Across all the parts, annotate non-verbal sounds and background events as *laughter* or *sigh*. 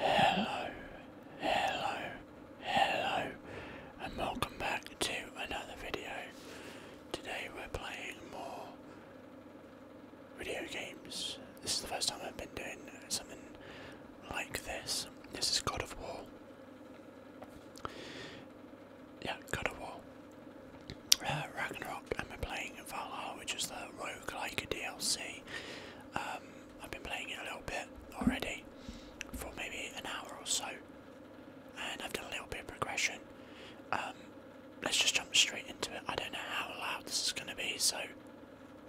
Hello, hello, hello, and welcome back to another video. Today we're playing more video games. This is the first time I've been doing something like this. This is God of War. Yeah, God of War. Uh, Ragnarok, and we're playing Valhalla, which is the roguelike DLC. Um, I've been playing it a little bit already for maybe an hour or so, and I've done a little bit of progression. Um, let's just jump straight into it. I don't know how loud this is going to be, so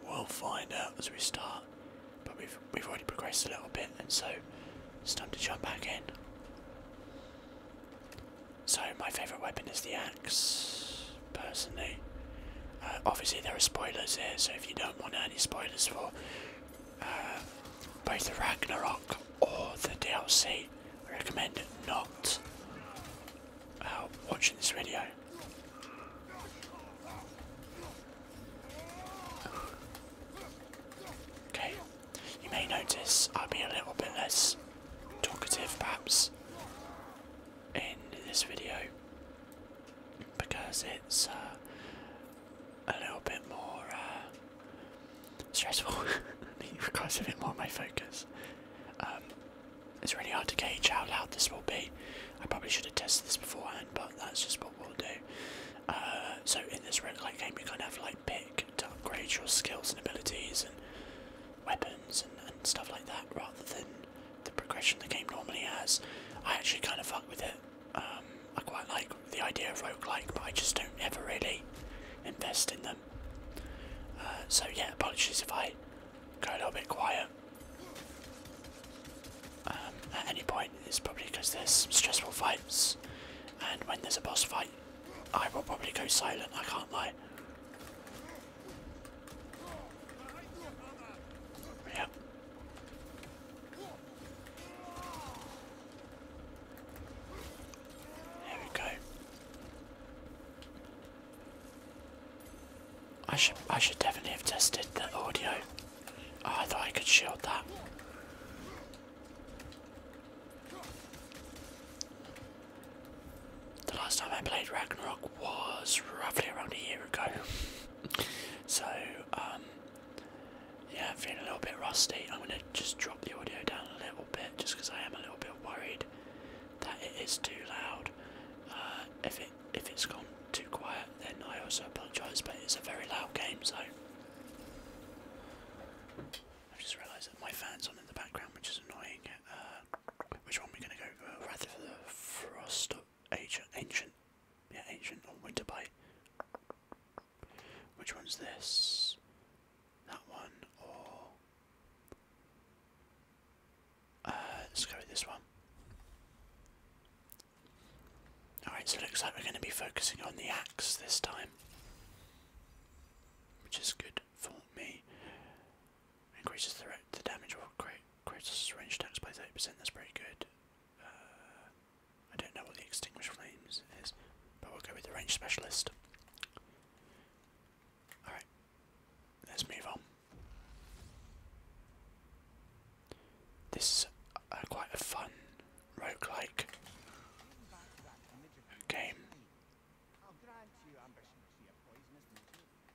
we'll find out as we start. But we've we've already progressed a little bit, and so it's time to jump back in. So my favourite weapon is the axe personally. Uh, obviously, there are spoilers here, so if you don't want any spoilers for uh, both the Ragnarok or the DLC, I recommend not uh, watching this video. Okay, you may notice I'll be a little bit less talkative perhaps in this video because it's uh, a little bit more uh, stressful. it requires *laughs* a bit more of my focus. Um, it's really hard to gauge how loud this will be. I probably should have tested this beforehand, but that's just what we'll do. Uh, so in this red light game, you kind of have like pick to upgrade your skills and abilities and weapons and, and stuff like that rather than the progression the game normally has. I actually kind of fuck with it. Um, I quite like the idea of roguelike, but I just don't ever really invest in them. Uh, so yeah, apologies if I go a little bit quiet. Um, at any point, it's probably because there's stressful fights, and when there's a boss fight, I will probably go silent, I can't lie. Yep. There we go. I should I should definitely have tested the audio. Oh, I thought I could shield that. The last time I played Ragnarok was roughly around a year ago. so, um, yeah, I'm feeling a little bit rusty. I'm going to just drop the audio down a little bit just because I am a little bit worried that it is too loud. Uh, if, it, if it's gone too quiet, then I also apologise, but it's a very loud game, so. I've just realised that my fan's on in the background, which is annoying. Uh, which one we going to go for? rather for the frost of ancient yeah ancient or winter bite which one's this that one or uh, let's go with this one alright so it looks like we're going to be focusing on the axe this time which is good for me Increases the, the damage or great, creates range attacks by 30%, that's pretty good. Uh, I don't know what the Extinguish Flames is, but we'll go with the Range Specialist. Alright, let's move on. This is uh, quite a fun roguelike game.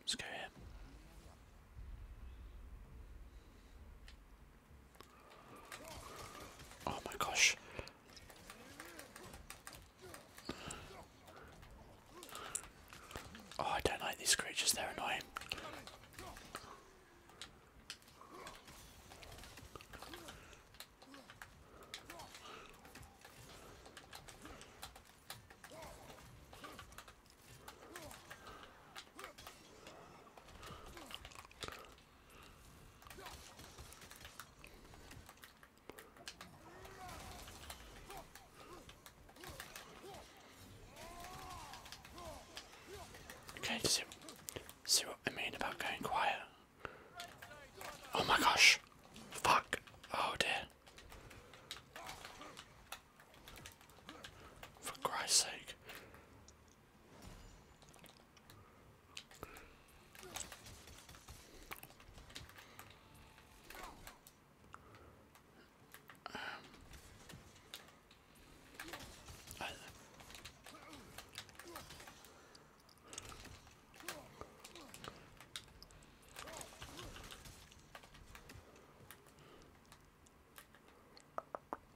Let's go here. Oh my gosh. Oh, I don't like these creatures, they're annoying. Okay, see, see what I mean about going quiet. Oh my gosh. Fuck. Oh dear. For Christ's sake.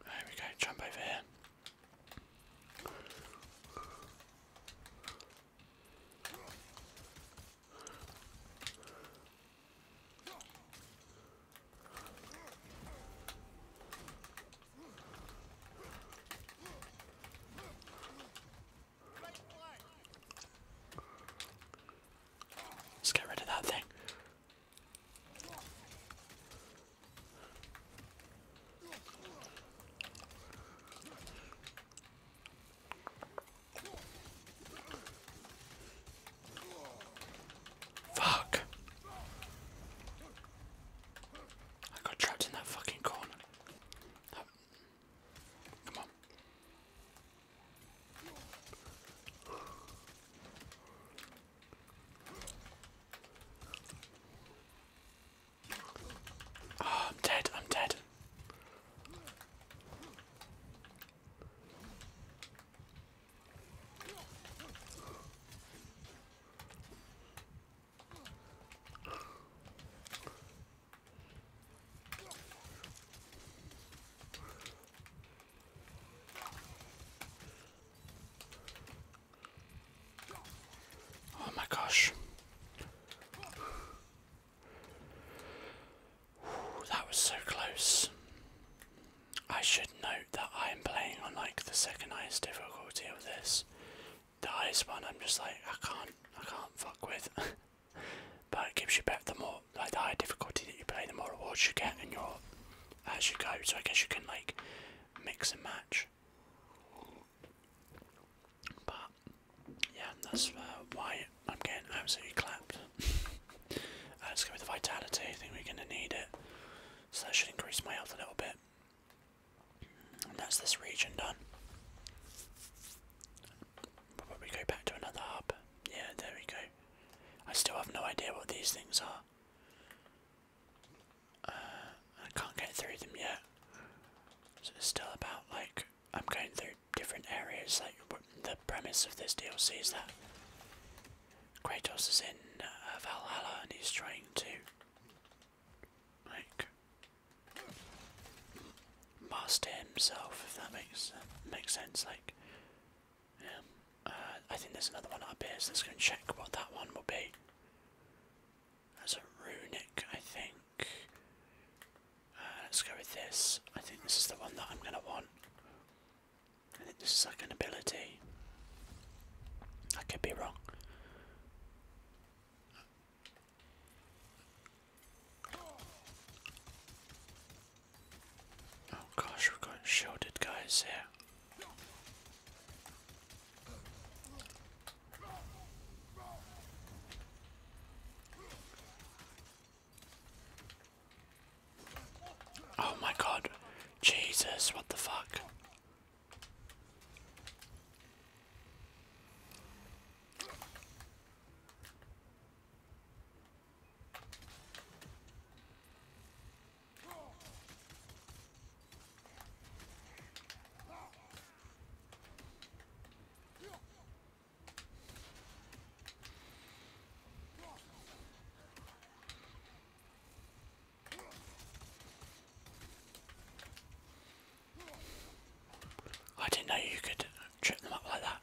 There we go, jump over here. Let's get rid of that thing. Fuck. I got trapped in that fucking corner. Come on. Oh, I'm dead, I'm dead. Oh my gosh. that was so close. I should note that I'm playing on like the second highest difficulty of this. The highest one I'm just like I can't I can't fuck with. *laughs* but it gives you better the more like the higher difficulty that you play, the more rewards you get and your as you go. So I guess you can like mix and match. But yeah, that's uh, why I'm getting absolutely clapped. uh, let's go with the vitality. I think we're gonna need it, so that should increase my health a little bit. And that's this region done. Probably go back to another hub. Yeah, there we go. I still have no idea what these things are. Uh, I can't get through them yet. So it's still about like I'm going through different areas. Like the premise of this DLC is that Kratos is in uh, Valhalla and he's trying to like master himself. If that makes makes sense, like yeah. Um, uh, I think there's another one up here, so let's go and check what that one will be. As a runic, I think. Uh, let's go with this. I think this is the one that I'm going to want. I think this is like an ability. I could be wrong. Oh gosh, we have got shielded guys here. Oh my god. Jesus, what the fuck? I didn't know you could trip them up like that.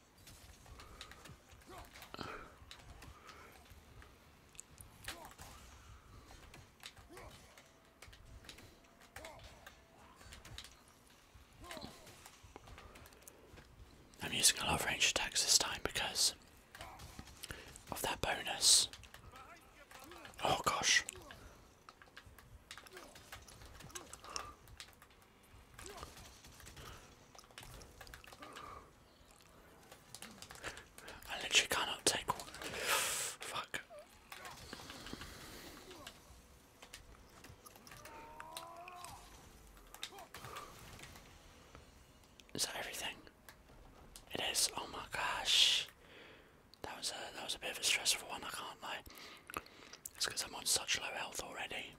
I'm using a lot of ranged attacks this time because of that bonus. Oh gosh. I literally cannot take one. Fuck. Is that everything? It is. Oh my gosh. That was a that was a bit of a stressful one, I can't lie. It's because I'm on such low health already.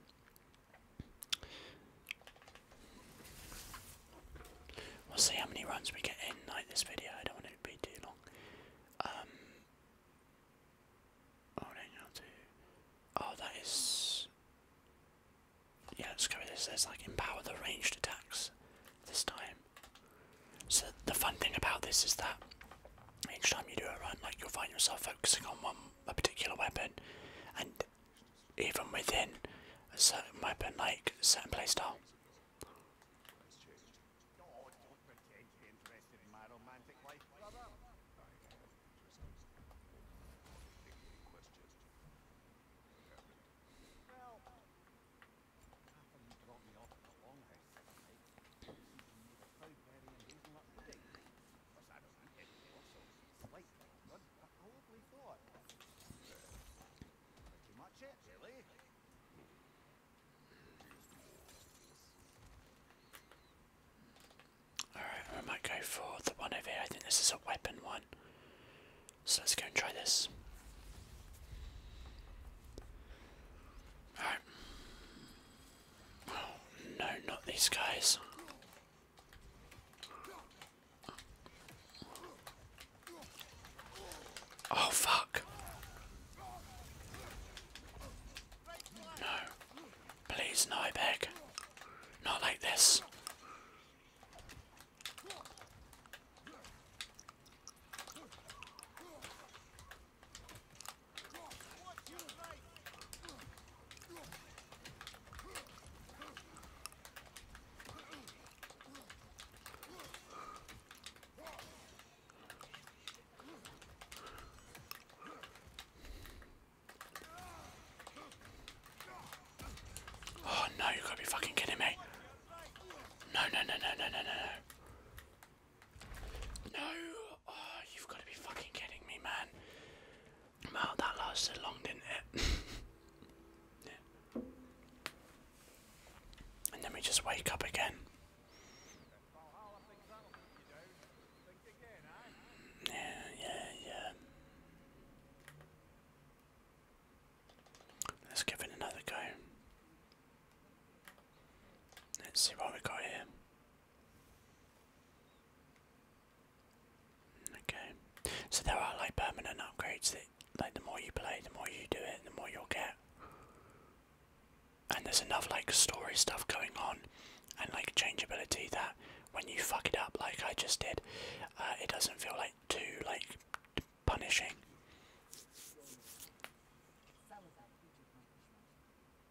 We'll see how many runs we get in like this video. I don't want it to be too long. Um, oh, oh that is. Yeah, let's go with this. Let's like empower the ranged attacks this time. So the fun thing about this is that each time you do a run, like you'll find yourself focusing on one a particular weapon, and even within a certain weapon, like certain playstyle. Alright, we might go for the one over here. I think this is a weapon one. So let's go and try this. Alright. Oh, no, not these guys. Oh, fuck. No. Please, no, I beg. Not like this. Oh no, you gotta be fucking kidding me. No, no, no, no, no, no, no, no. No! Oh, you've got to be fucking kidding me, man. Well, that lasted long, didn't it? *laughs* And then we just wake up again. Yeah, yeah, yeah. Let's give it another go. Let's see what we got here. Okay, so there are like permanent upgrades that, like, the more you play, the more you do it, the more you'll get. And there's enough like story stuff going on, and like changeability that when you fuck it up, like I just did, uh, it doesn't feel like too like punishing.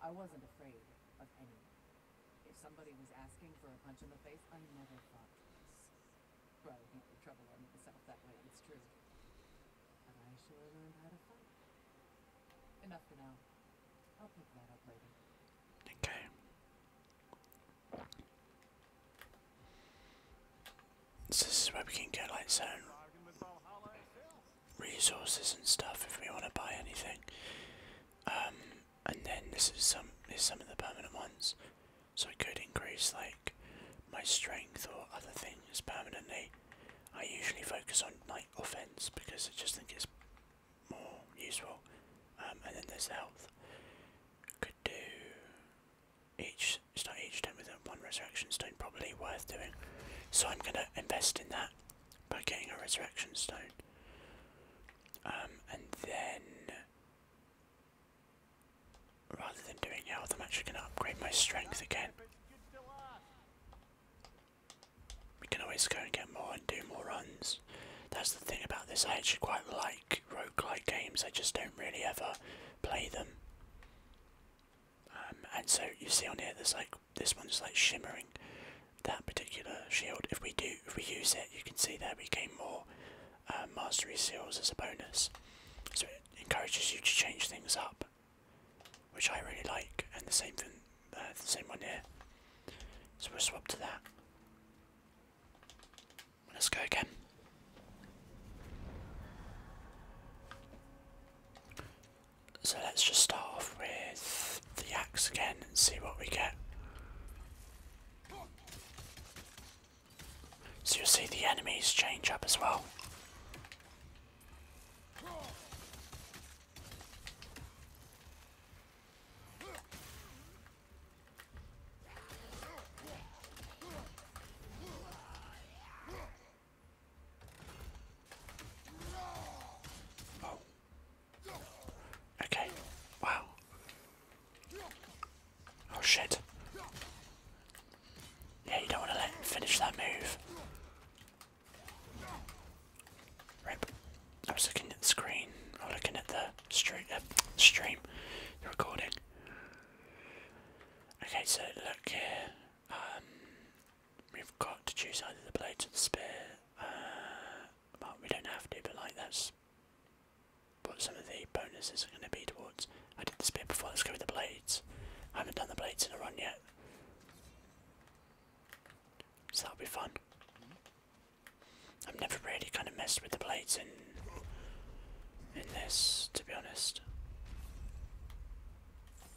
I wasn't afraid of anyone. If somebody was asking for a punch in the face, I never thought twice. Bro, not the trouble on myself that way, it's true. I sure learned how to fight. Enough for now. Okay. this is where we can go like so resources and stuff if we want to buy anything. Um, and then this is some is some of the permanent ones, so I could increase like my strength or other things permanently. I usually focus on like offense because I just think it's more useful. Um, and then there's health. Could do each start each turn with one resurrection stone, probably worth doing. So I'm going to invest in that by getting a resurrection stone. Um, and then, rather than doing health, I'm actually going to upgrade my strength again. We can always go and get more and do more runs. That's the thing about this, I actually quite like roguelike games, I just don't really ever play them. Um, and so you see on here, there's like this one's like shimmering that particular shield. If we do, if we use it, you can see that we gain more uh, mastery seals as a bonus. So it encourages you to change things up, which I really like. And the same thing, uh, the same one here. So we'll swap to that. Let's go again. So let's just start off with the axe again and see what we get. So you'll see the enemies change up as well. Oh. Okay. Wow. Oh shit. Yeah, you don't want to let him finish that move. Rip. I was looking at the screen, or looking at the stream, uh, stream, the recording. Okay, so look here. Um, we've got to choose either the blades or the spear. but uh, we don't have to, but like that's what some of the bonuses are going to be towards. I did the spear before. Let's go with the blades. I haven't done the blades in a run yet, so that'll be fun. I've never really kind of messed with the blades in in this, to be honest.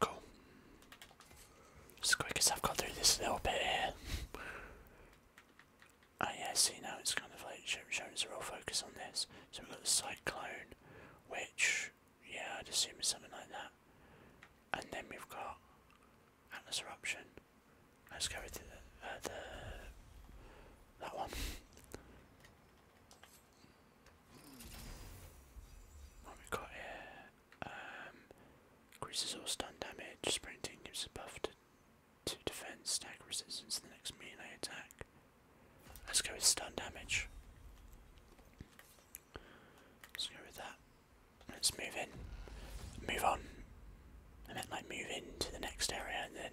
Cool. As quick as I've got through this little bit here. Oh yeah, see now it's kind of like showing us a real focus on this. So we've got the cyclone, which, yeah, I'd assume is something like that. And then we've got Atlas Eruption. Let's go with the, uh, the that one. What we got here? increases um, all stun damage. Sprinting gives a buff to, to defense, stack resistance, the next melee attack. Let's go with stun damage. Let's go with that. Let's move in. Move on. I meant like move into the next area and then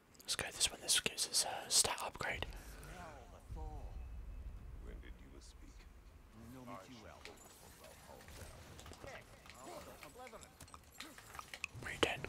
Let's go this one. This gives us a stat upgrade. When did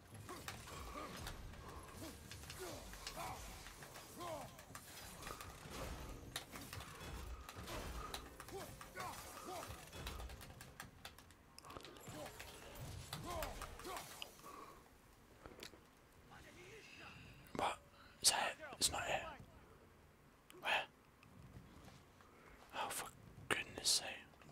What? Is that it? It's not it. Where? Oh, for goodness sake.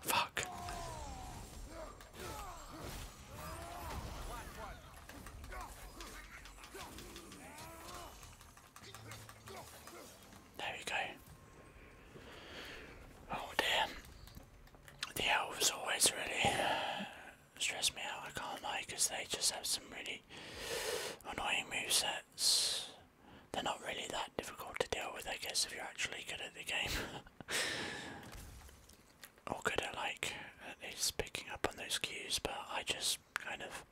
Fuck. There you go. Oh dear. The elves always really stress me out, I can't lie, they just have some really annoying movesets they're not really that difficult to deal with, I guess, if you're actually good at the game. *laughs* or good at, like, at picking up on those cues, but I just kind of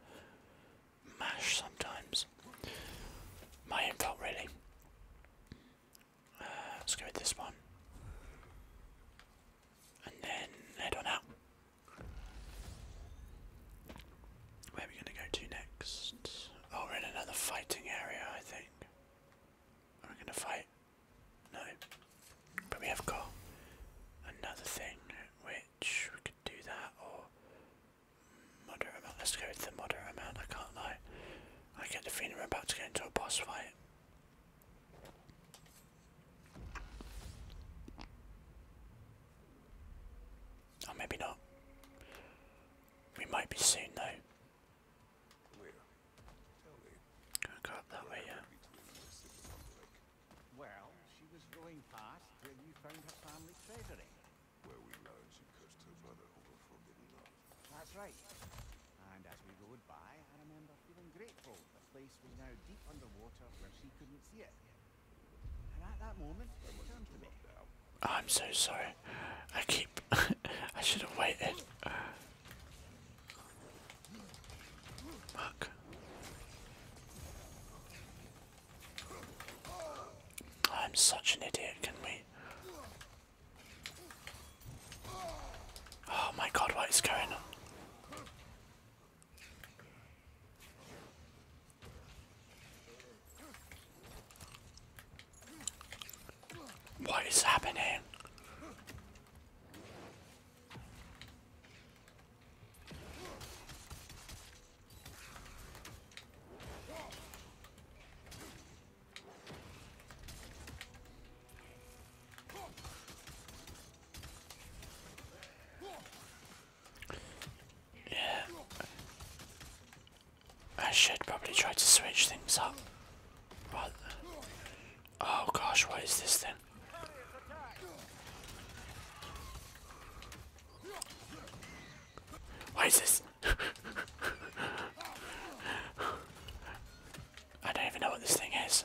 mash sometimes. My own fault, really. Uh, let's go with this one. And then head on out. Where are we gonna go to next? Oh, we're in another fighting area, I think. Are we gonna fight? No. But we have got another thing which we could do that or moderate amount. Let's go with the moderate amount, I can't lie. I get the feeling we're about to get into a boss fight. Or maybe not. We might be soon though. go up that way, yeah. Well, she was going past when you found her family treasury. Where we learned she cursed her brother over forbidden love. That's right. And as we rode by, I remember feeling grateful the place was now deep underwater where she couldn't see it. And at that moment, she turned to me. Out. Oh, I'm so sorry. I keep. *laughs* I should have waited. Fuck. I'm such an idiot, can we? Oh my god, what is going on? What is happening? Yeah. I should probably try to switch things up. But oh gosh, what is this then? What is this? *laughs* I don't even know what this thing is.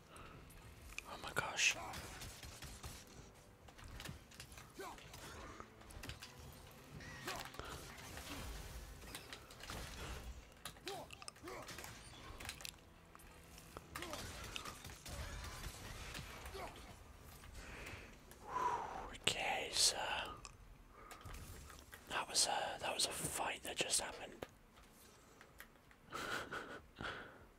Oh my gosh. Okay, so that was a that was a fight that just happened. *laughs*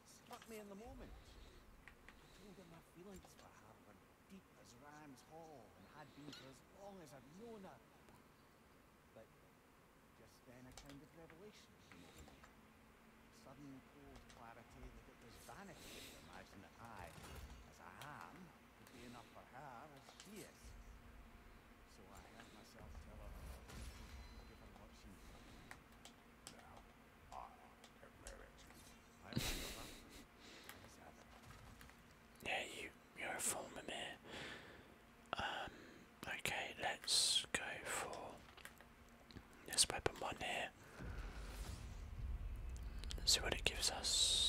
because struck me in the moment. told her my feelings for her were deep as Ram's Hall and had been for as long as I've known her. But just then a kind of revelation came Sudden cold clarity that it was vanity imagine I, as I am, would be enough for her as she So I heard myself tell her, give her what she needed. *laughs* yeah, you you're a former mayor. Um, okay, let's go for this weapon one here. Let's see what it gives us.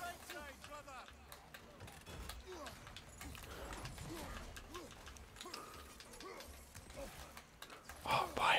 Right side, brother! Oh, boy.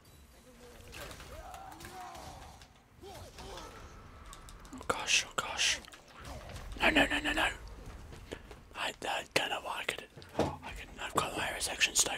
Oh gosh, oh gosh. No, no, no, no, no. I, don't know why I could. I could I've got my section stone.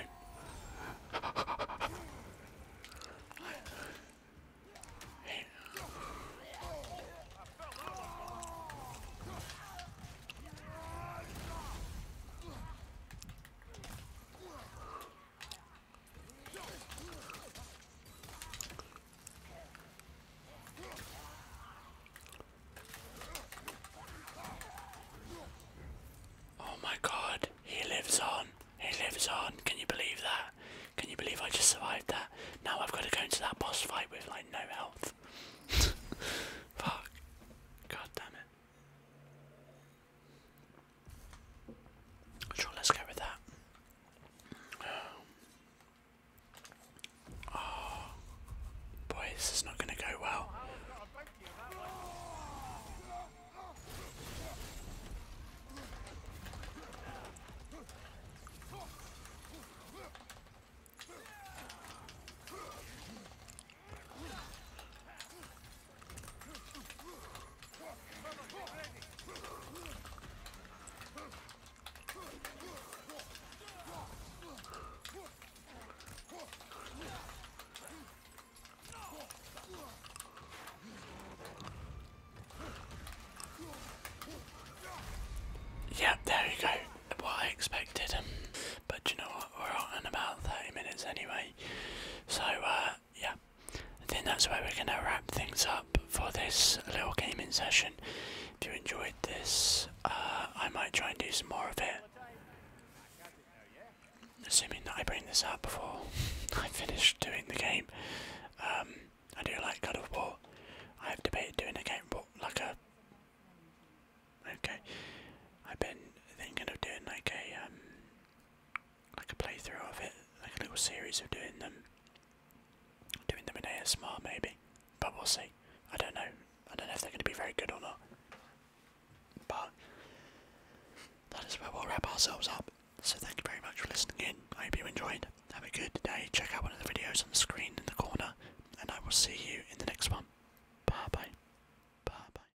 Oh my god, he lives on. He lives on. Can you believe that? Can you believe I just survived that? Now I've got to go into that boss fight with like no health. *laughs* Fuck. God damn it. Sure, let's go with that. *sighs* Oh, boy, this is not going to go well. Yep, there you go. What I expected. but you know what? We're on in about 30 minutes anyway. So, uh, yeah, I think that's where we're going to wrap things up for this little gaming session. If you enjoyed this, uh, I might try and do some more of it. Assuming that I bring this out before *laughs* I finish doing the game. Um, I do like God of War. I have debated doing a game, but like a. Okay. I've been thinking of doing like a um, like a playthrough of it, like a little series of doing them, doing them in ASMR maybe, but we'll see. I don't know. I don't know if they're going to be very good or not. But that is where we'll wrap ourselves up. So thank you very much for listening in. I hope you enjoyed. Have a good day. Check out one of the videos on the screen in the corner, and I will see you in the next one. Bye bye. Bye bye.